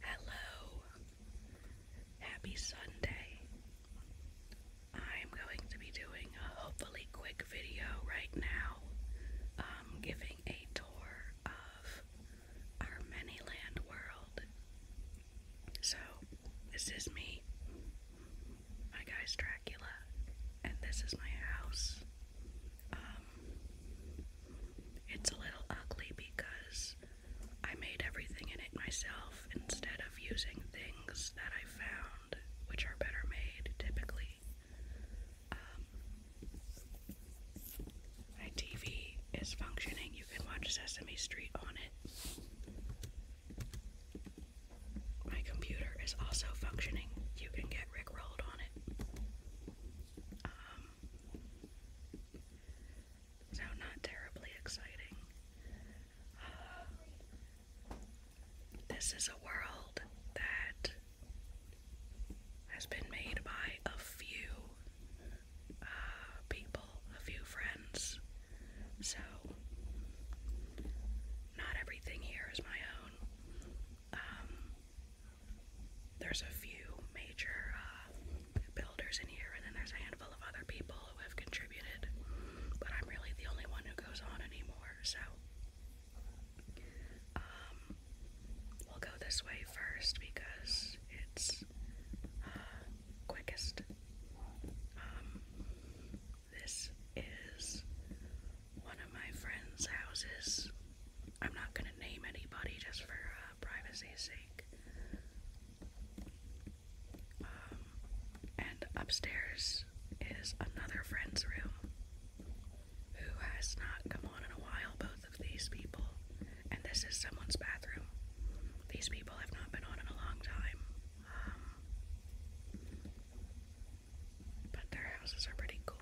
Hello. Happy Sunday. I'm going to be doing a hopefully quick video right now, um, giving a tour of our Manyland world. So, this is me. My guy's Dracula, and this is my house. Um, it's a little ugly because I made everything in it myself instead of using things that I found, which are better made typically. Um, my TV is functioning, you can watch Sesame Street on it. My computer is also functioning, you can get Rickrolled on it. Um, so not terribly exciting. Uh, this is a world that has been made by a few uh, people, a few friends. So not everything here is my own. Um, there's a few major uh, builders in here, and then there's a handful of other people who have contributed, but I'm really the only one who goes on anymore, so. Um, we'll go this way first because it's uh, quickest. Um, this is one of my friends' houses. I'm not gonna name anybody just for uh, uh, privacy's sake. Um, and upstairs is another friend's room who has not come on in a while, both of these people. And this is someone's bathroom. These people have not been on in a long time. Um, but their houses are pretty cool.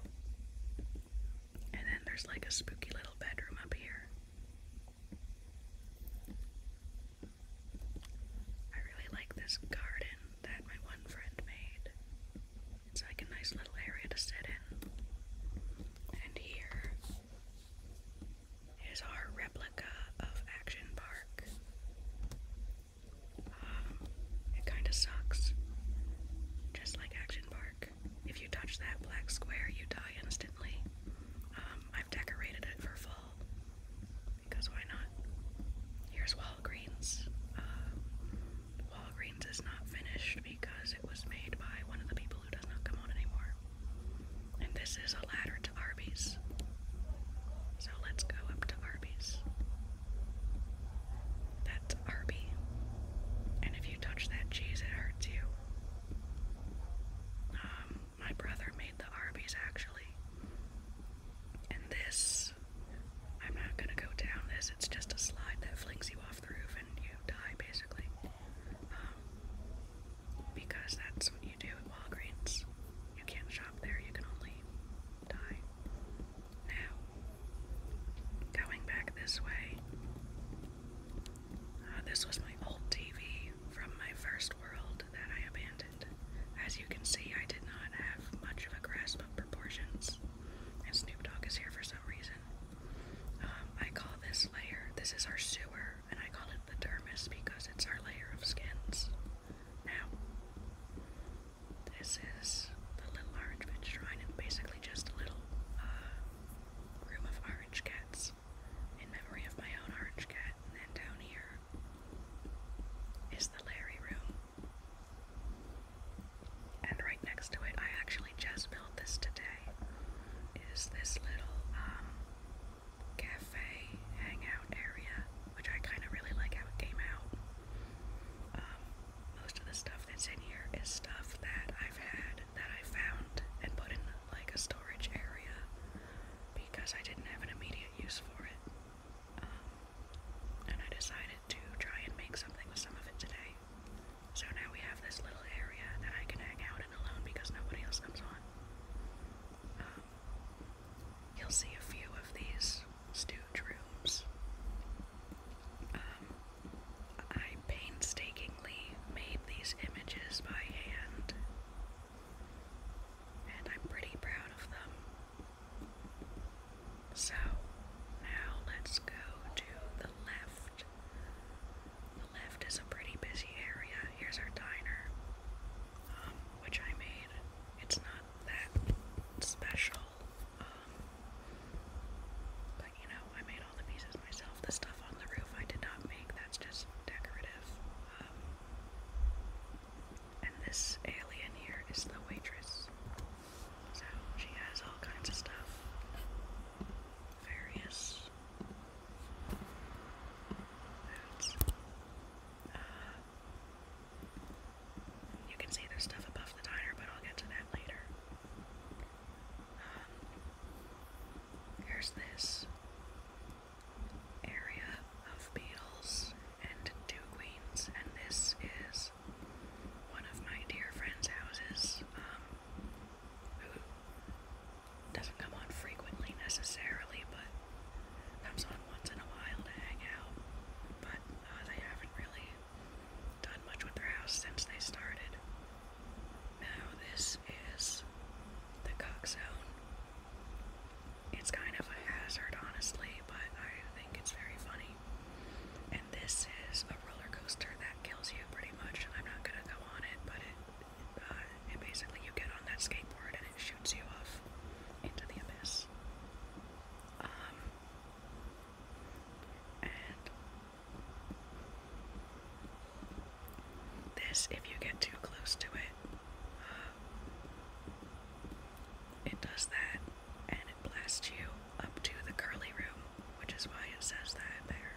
And then there's like a spooky little bedroom up here. I really like this garden that my one friend made. It's like a nice little area to sit in. And here is our replica of Action Park. Um, it kind of sucks. Just like Action Park. If you touch that black square, you die instantly. Um, I've decorated it for fall because why not? Here's Walgreens. Uh, Walgreens is not finished because it was made by one of the people who does not come on anymore. And this is a ladder to Arby's. So let's go up to Arby's. That's Arby. And if you touch that cheese, it hurts you. Um, my brother made the Arby's actually. And this, I'm not gonna go down this, it's just a slide that flings you off the roof and you die basically. Um, because that's what you do at Walgreens. You can't shop there, you can only die. Now, going back this way, uh, this was my old TV from my first world that I abandoned. As you can see, I did not have much of a grasp of proportions, Snoop Dogg is here for some reason. Um, I call this layer, this is our sewer, and I call it the dermis because it's our layer of skins. Now, this is the little orange bitch shrine, and basically just a little uh, room of orange cats in memory of my own orange cat. And then down here is the Larry room. And right next to it, I actually just built this today, is this little um, cafe hangout area, which I kind of really like how it came out. Um, most of the stuff that's in here is stuff that I've had that I found and put in like a storage area because I didn't have an immediate use for it. Um, and I decided to try and make something with some of it today. So now we have this little area that I can hang out in alone because nobody else comes on. Um, you'll see a few of these stooge rooms I painstakingly made these images by hand, and I'm pretty proud of them. So, now let's go to the left. The left is a pretty busy area. Here's our diner, um, which I made. It's not that special, um, you know, I made all the pieces myself. The stuff on the roof I did not make, that's just decorative. Um, and this alien here is the waitress. So she has all kinds of stuff. Various foods. Uh, you can see there's stuff above the diner, but I'll get to that later. Um, there's this area of beetles and two queens, and this is one of my dear friends' houses, um, who doesn't come on frequently necessarily, but comes on once in a while to hang out. But uh, they haven't really done much with their house since they started. Now, this is the cook zone. It's kind of a hazard, honestly, but I think it's very funny. And this is a roller coaster that kills you pretty much. I'm not gonna go on it, but uh, it, basically you get on that skateboard and it shoots you off into the abyss. Um, and this, if you get too close to it, uh, it does that and it blasts you up to the curly room, which is why it says that there.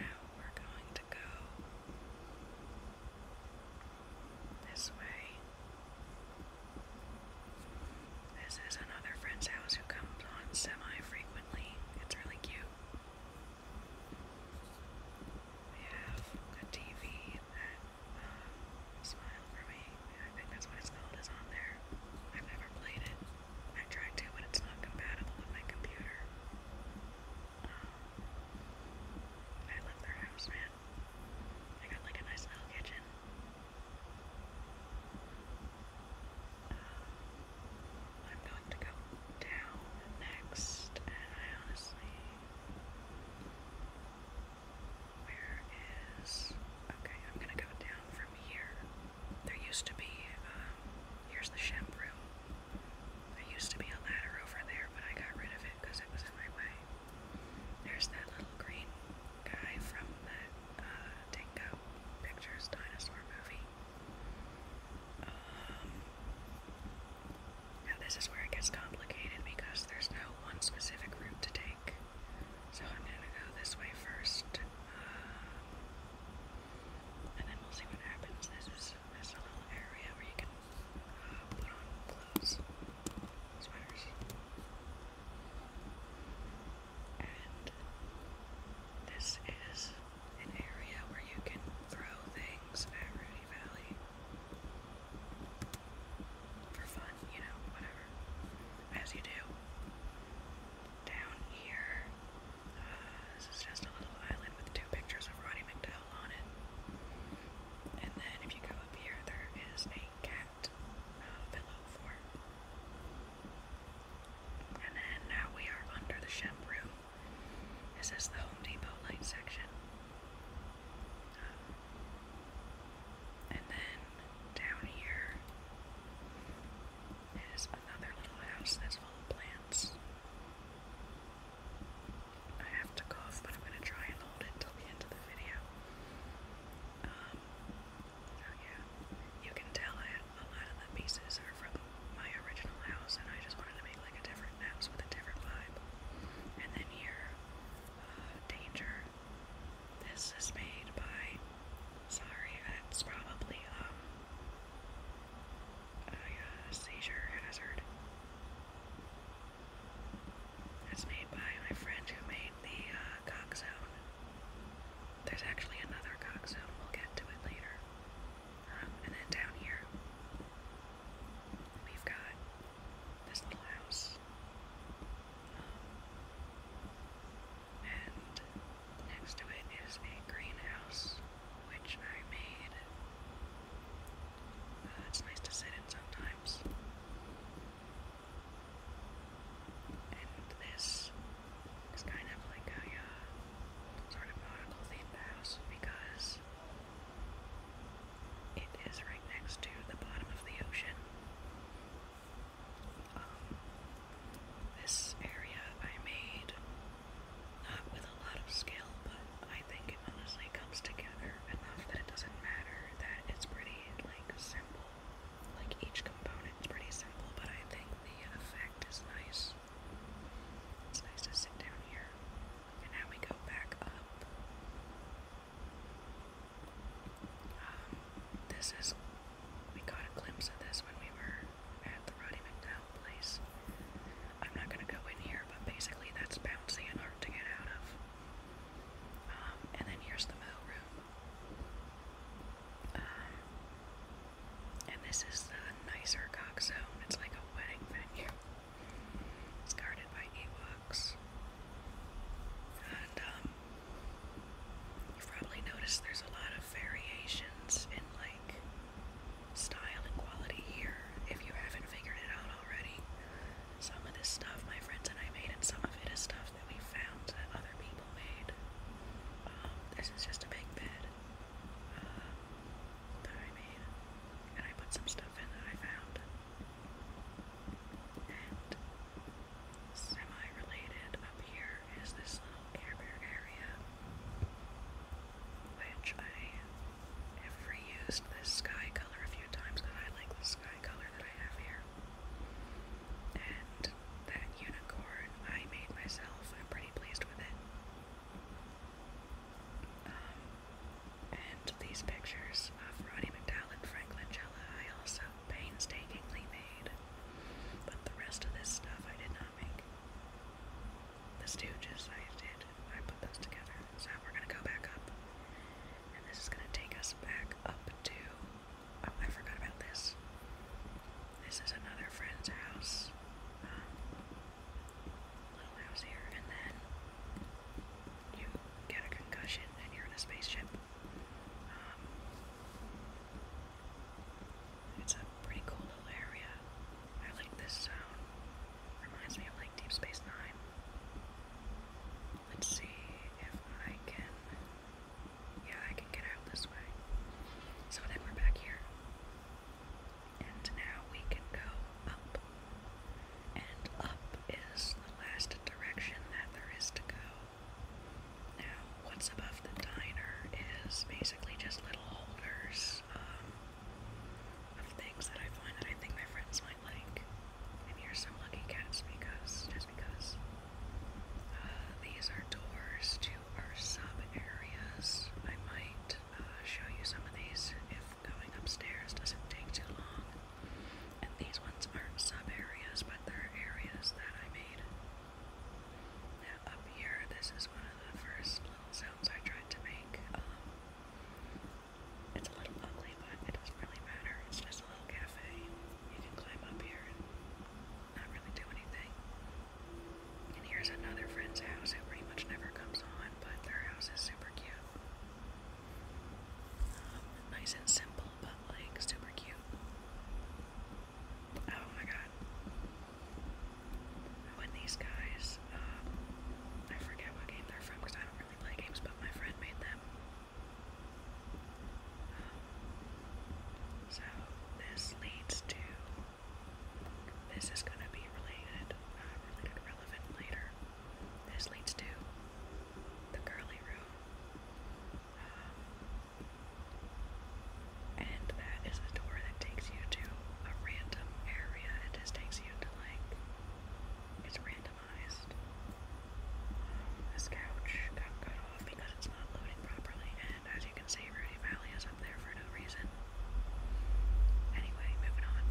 Now we're going to go this way. This is another friend's house who comes on semi frequently. It's really cute. We have a TV that uh, Smile for Me, I think that's what it's called, is on there. I've never played it. I tried to, but it's not compatible with my computer. Um, I love their house, man. They got like a nice little kitchen. I'm going to go down next, and I honestly. Where is. Okay, I'm gonna go down from here. There used to be. Um, here's the shemp There used to be a ladder over there, but I got rid of it because it was in my way. There's that little green guy from that Dingo uh, Pictures dinosaur movie. Um, now this is where it gets complicated because there's no one specific route to take. So I'm gonna go this way first, uh, and then we'll see what happens. This is this little area where you can uh, put on clothes, sweaters this is an area where you can throw things at Rudy Valley for fun, you know, whatever, as you do. Down here, uh, this is just a little island with two pictures of Roddy McDowell on it. And then if you go up here, there is a cat pillow uh, for And then now we are under the shampoo. This is the Home Depot light section. Um, and then down here is another little house that's full of plants. I have to cough, but I'm going to try and hold it till the end of the video. Um, Oh yeah. You can tell a lot of the pieces are from my original house and I just wanted to make like a different house with a different vibe. And then here, uh, Danger. This is made by sorry, that's probably um, a uh, seizure hazard. It's made by my friend who made the uh, there's actually another cock zone. We'll get to it later. Um, and then down here, we've got this little house. Um, and next to it is a greenhouse, which I made. Uh, it's nice to sit in sometimes. And this is kind of like a uh, sort of nautical themed house because it is right next to the bottom of the ocean. Um, this area I made not with a lot of skill, but I think it honestly comes together enough that it doesn't matter that it's pretty like simple like each component is pretty simple, but I think the effect is nice. It's nice to sit down here. And now we go back up. Um, this is, we got a glimpse of this when we were at the Roddy McDowell place. I'm not gonna go in here, but basically that's bouncy and hard to get out of. Um, and then here's the mail room. Um, and this is the nicer Cox Zone. It's like a wedding venue. It's guarded by Ewoks. And, um, you've probably noticed there's a lot of variations in, like, style and quality here, if you haven't figured it out already. Some of this stuff my friends and I made, and some of it is stuff that we found that other people made. Um, this is just a big bed uh, I made, and I put some stuff in that I found. And semi-related up here is this little Care Bear area, which I have reused this sky color a few times because I like the color that I have here. And that unicorn I made myself. I'm pretty pleased with it. Um, and these pictures of Roddy McDowell and Frank Langella I also painstakingly made. But the rest of this stuff I did not make. The Stooges I did. I put those together. So we're going to go back up. And this is going to take us back up to Oh, I forgot about this. This is another friend's house. Um, little house here, and then you get a concussion and you're in a spaceship. Um, it's a pretty cool little area. I like this zone. Reminds me of like Deep Space Nine. Let's see if I can. Yeah, I can get out this way. So then we're back here. And now we can go up. And up is the last direction that there is to go. Now, what's above the diner is basically just little holders um, of things that I find that I think my friends might like, and you're lucky, cats, because just because uh, these are doors to our sub areas. I might uh, show you some of these if going upstairs doesn't take too long. And these ones aren't sub areas, but they're areas that I made. up here, this is one of the first sounds I tried to make. Um, it's a little ugly, but it doesn't really matter. It's just there's a little cafe. You can climb up here and not really do anything. And here's another friend's house who pretty much never comes on, but their house is super cute. Um, nice and simple, but like super cute. Oh my god. When these guys, um, I forget what game they're from because I don't really play games, but my friend made them. So this leads to this is going to be related, uh, related later. This leads to the curly room, um, and that is the door that takes you to a random area. It just takes you to like it's random this couch got cut off because it's not loading properly, and as you can see, Rudy Valley is up there for no reason. Anyway, moving on.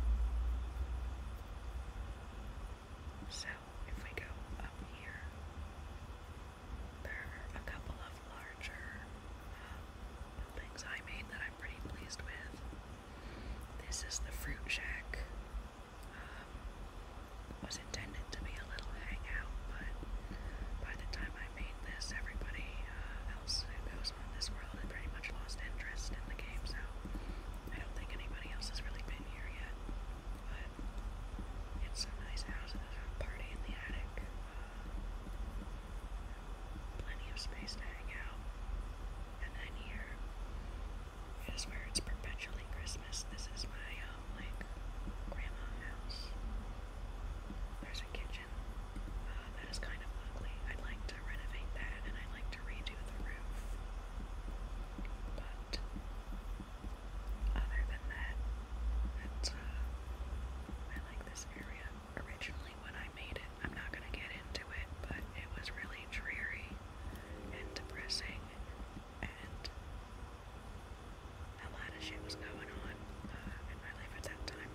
So, if we go up here, there are a couple of larger uh, I made that I'm pretty pleased with. This is the Fruit Shack um, was intended to be a little hangout, but by the time I made this, everybody uh, else who goes on this world had pretty much lost interest in the game, so I don't think anybody else has really been here yet. But it's a nice house and a party in the attic. Uh, plenty of space to hang out. And then here, I where it's perpetually Christmas. This is my, um, like, grandma house. There's a kitchen uh, that is kind of ugly. I'd like to renovate that and I'd like to redo the roof. But other than that, it's, uh, I like this area. Originally, when I made it, I'm not gonna get into it, but it was really dreary and depressing and a lot of shit was going on uh, in my life at that time.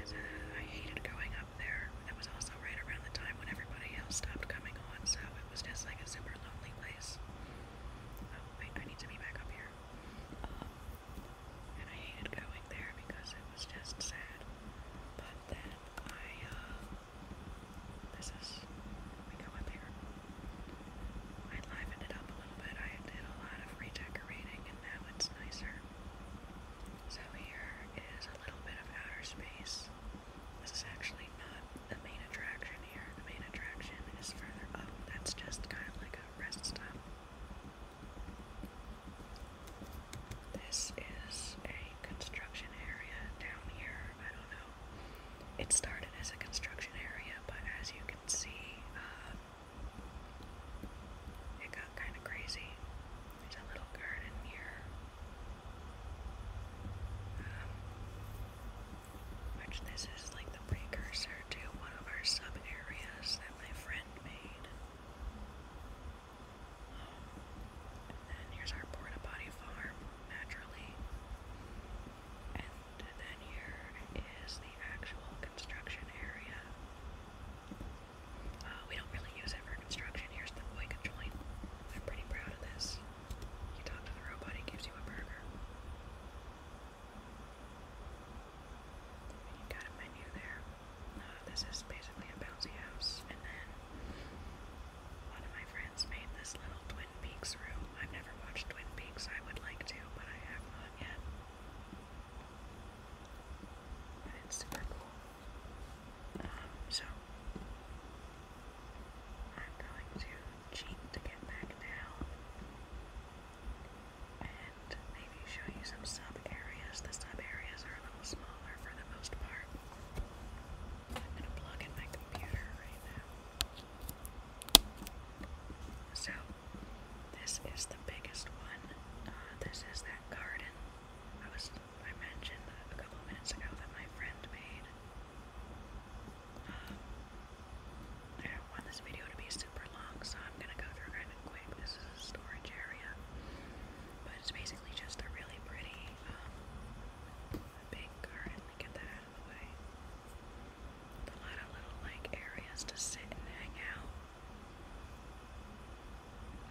And, uh, I hated going up there. That was also right around the time when everybody else stopped coming on, so it was just like a super lonely place. Oh, wait, I need to be back up here. Um, and I hated going there because it was just sad. But then I, uh, this is, we go up here. I livened it up a little bit. I did a lot of redecorating and now it's nicer. So here is a little bit of outer space. This is actually not the main attraction here. The main attraction is further up. That's just kind of like a rest stop. This is a construction area down here. I don't know. It started as a construction area, but as you can see, um, it got kind of crazy. There's a little garden here. Um, which this is like the precursor to one of our sub areas that my friend made. And then here's our porta potty farm, naturally. And then here is the actual construction area. Uh, we don't really use it for construction. Here's the boy controlling. I'm pretty proud of this. You talk to the robot, he gives you a burger. you got a menu there. Uh, this is basically a bouncy house. And then one of my friends made this little Twin Peaks room. I've never watched Twin Peaks. I would like to, but I have not yet. But it's super cool. Um, so I'm going to cheat to get back down and maybe show you some sub areas. The sub areas are a little smaller for the most part. I'm gonna plug in my computer right now. So, this is the biggest one. Uh, this is that garden I was I mentioned a couple of minutes ago that my friend made. Um, I don't want this video to be super long, so I'm gonna go through kind of quick. This is a storage area, but it's basically just a really pretty um, the big currently get that out of the way. A lot of little like areas to sit and hang out.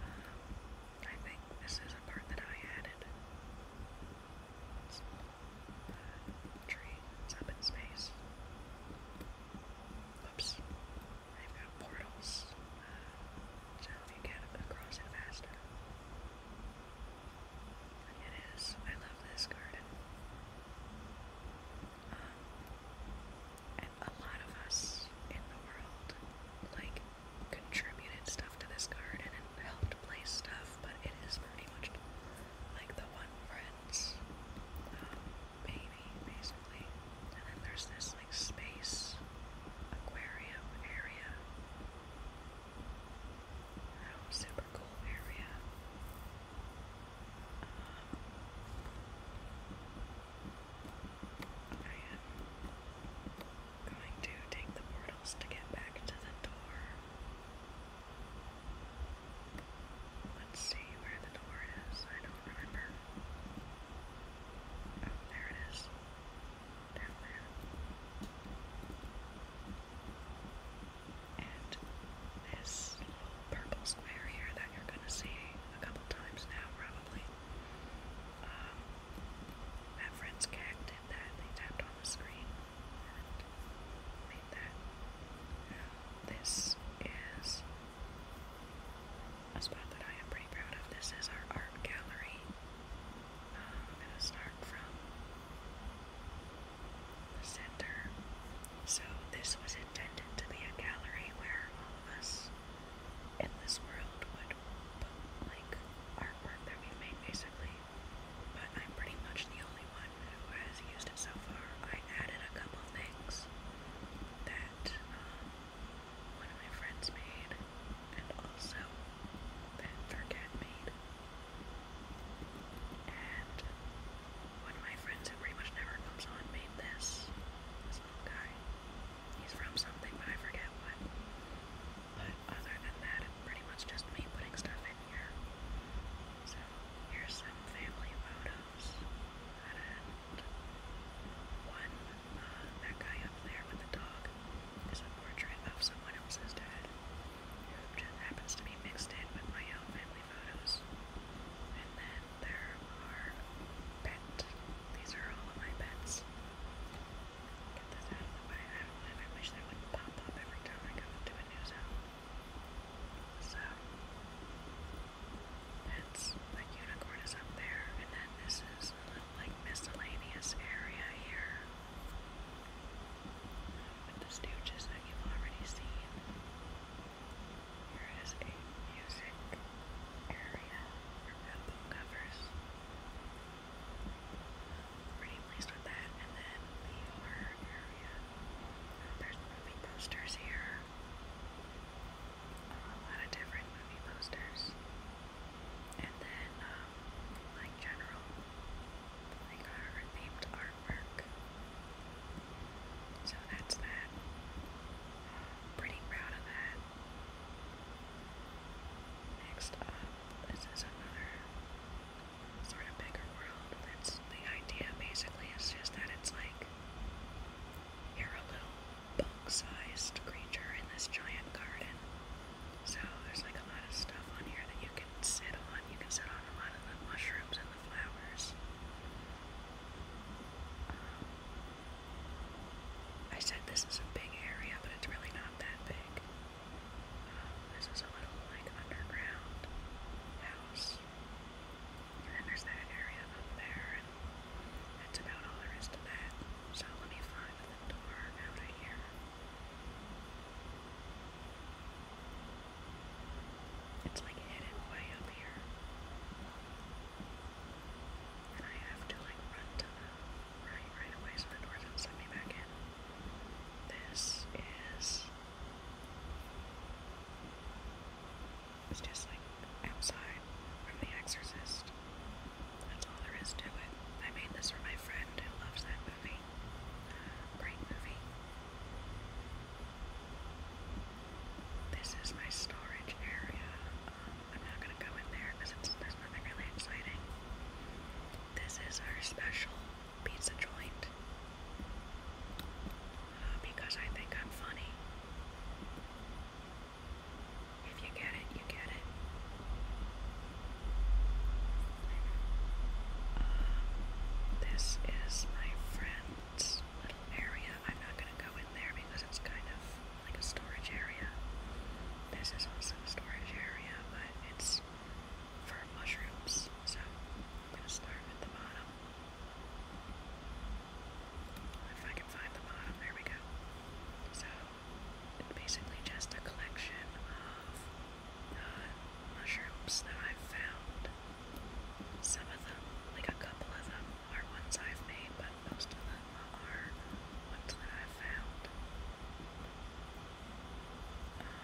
Um, I think this is a part that I added. It's, uh, up in space. Whoops. I've got portals. Uh, so you get across it faster. It is. I love this garden. Um, a lot of us in the world like contributed stuff to this garden and helped place stuff, but it is pretty much like the one friend's um, basically. And then there's this like space aquarium area um, super cool area. Um, I am going to take the portals to get back to the door. Let's see where the door is. I don't remember. Oh, there it is. And this little purple square here that you're going to see a couple times now, probably. my um, friends Cag did that. They tapped on the screen and made that. this is a spot that I am pretty proud of. This is our art gallery I'm going to start from the center. So, this was intended to be a gallery where all of us in this world would put like artwork that we made basically. But I'm pretty much the only one who has used it so far. I added a couple things that um, one of my friends made, and also that their made. And one of my friends who pretty much never comes on made this. This little guy. He's from something, but I forget what. But other than that, pretty much just me putting stuff in here. So here's some family photos. And one uh, that guy up there with the dog is a portrait of someone else's dad, which happens to be mixed in with my own family photos. And then there are pet. These are all of my pets. Get this out of the way. I don't live. I wish they would pop up every time I go into a new zone. So that's my unicorn is up there, and then this is a like miscellaneous area here with the stooges that you've already seen. Here is a music area for album covers. Pretty pleased with that. And then the horror area. Oh, there's movie posters here. A lot of different movie posters. And then, um, like general, like our themed artwork. So that's that. Pretty proud of that. Next up, this is another sort of bigger world. That's the idea basically is just that it's like you a little bug sized creature in this giant garden. So there's like a lot of stuff on here that you can sit on. You can sit on a lot of the mushrooms and the flowers. Um, I said this is a big area, but it's really not that big. Um, this is a little like underground house. And then there's that area up there, and that's about all there is to that. So let me find the door It's like hidden way up here. And I have to like run to the right right away so the door doesn't let me back in. This is it's just like outside from The Exorcist. That's all there is to it. I made this for my friend who loves that movie. Great movie. This is my storage area. Um, I'm not gonna go in there because there's nothing really exciting. This is our special pizza joint uh, because I think I'm funny. If you get it, you get it. Uh, this is my friend's area. I'm not going to go in there because it's kind of like a storage area. This is also a storage area, but it's for mushrooms, so I'm going to start at the bottom. If I can find the bottom, there we go. So basically just a collection of uh, mushrooms that I've found. Some of them, like a couple of them, are ones I've made, but most of them are ones that I've found. Um,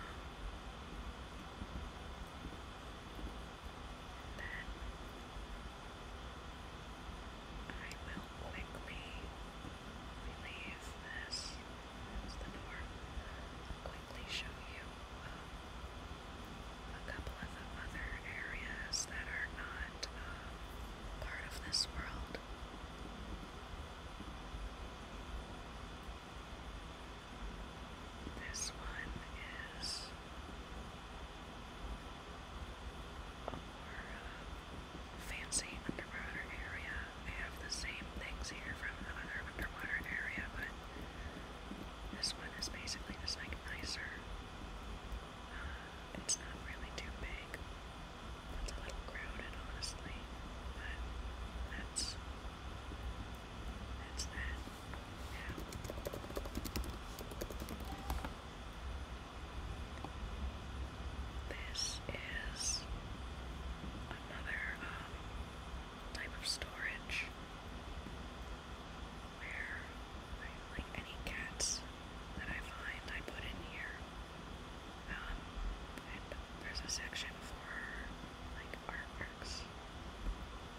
then I will quickly relieve this. the door. quickly show you um, a couple of the other areas that are not um, part of this world. This one is a um, fancy underwater area. They have the same things here from another underwater area, but this one is like nicer. Uh, it's not really too big. It's a little crowded, honestly, but that's that. This is another um, type of storage where, like any cats that I find, I put in here. Um, and there's a section for like artworks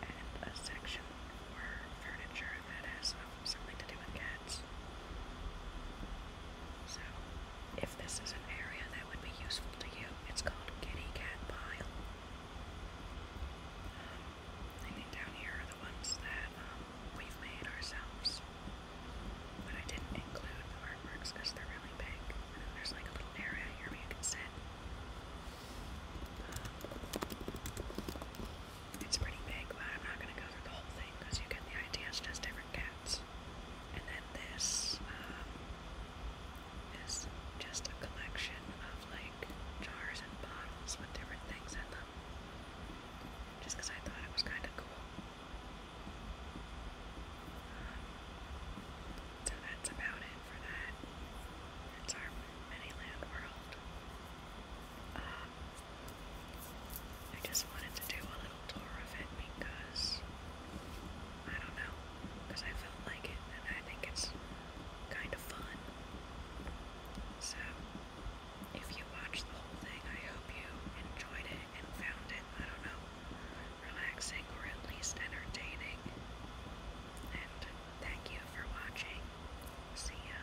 and a section for furniture if that has um, something to do with cats. So, if this is an area that would be useful to you, it's called Kitty Cat Pile. Um, I think down here are the ones that um, we've made ourselves. But I didn't include the artworks because they're really big. And then there's like a little area here where you can sit. Um, it's pretty big, but I'm not going to go through the whole thing because you get the idea. It's just different cats. And then this um, is just a collection of like jars and bottles with different things in them. Just because I thought it was kind of cool. Um, so that's about it for that. That's our Manyland world. Uh, I just wanted to do a little tour of it because I don't know, because I felt like it and I think it's kind of fun. So, if you watched the whole thing, I hope you enjoyed it and found it, I don't know, relaxing or at least entertaining. And thank you for watching. See ya.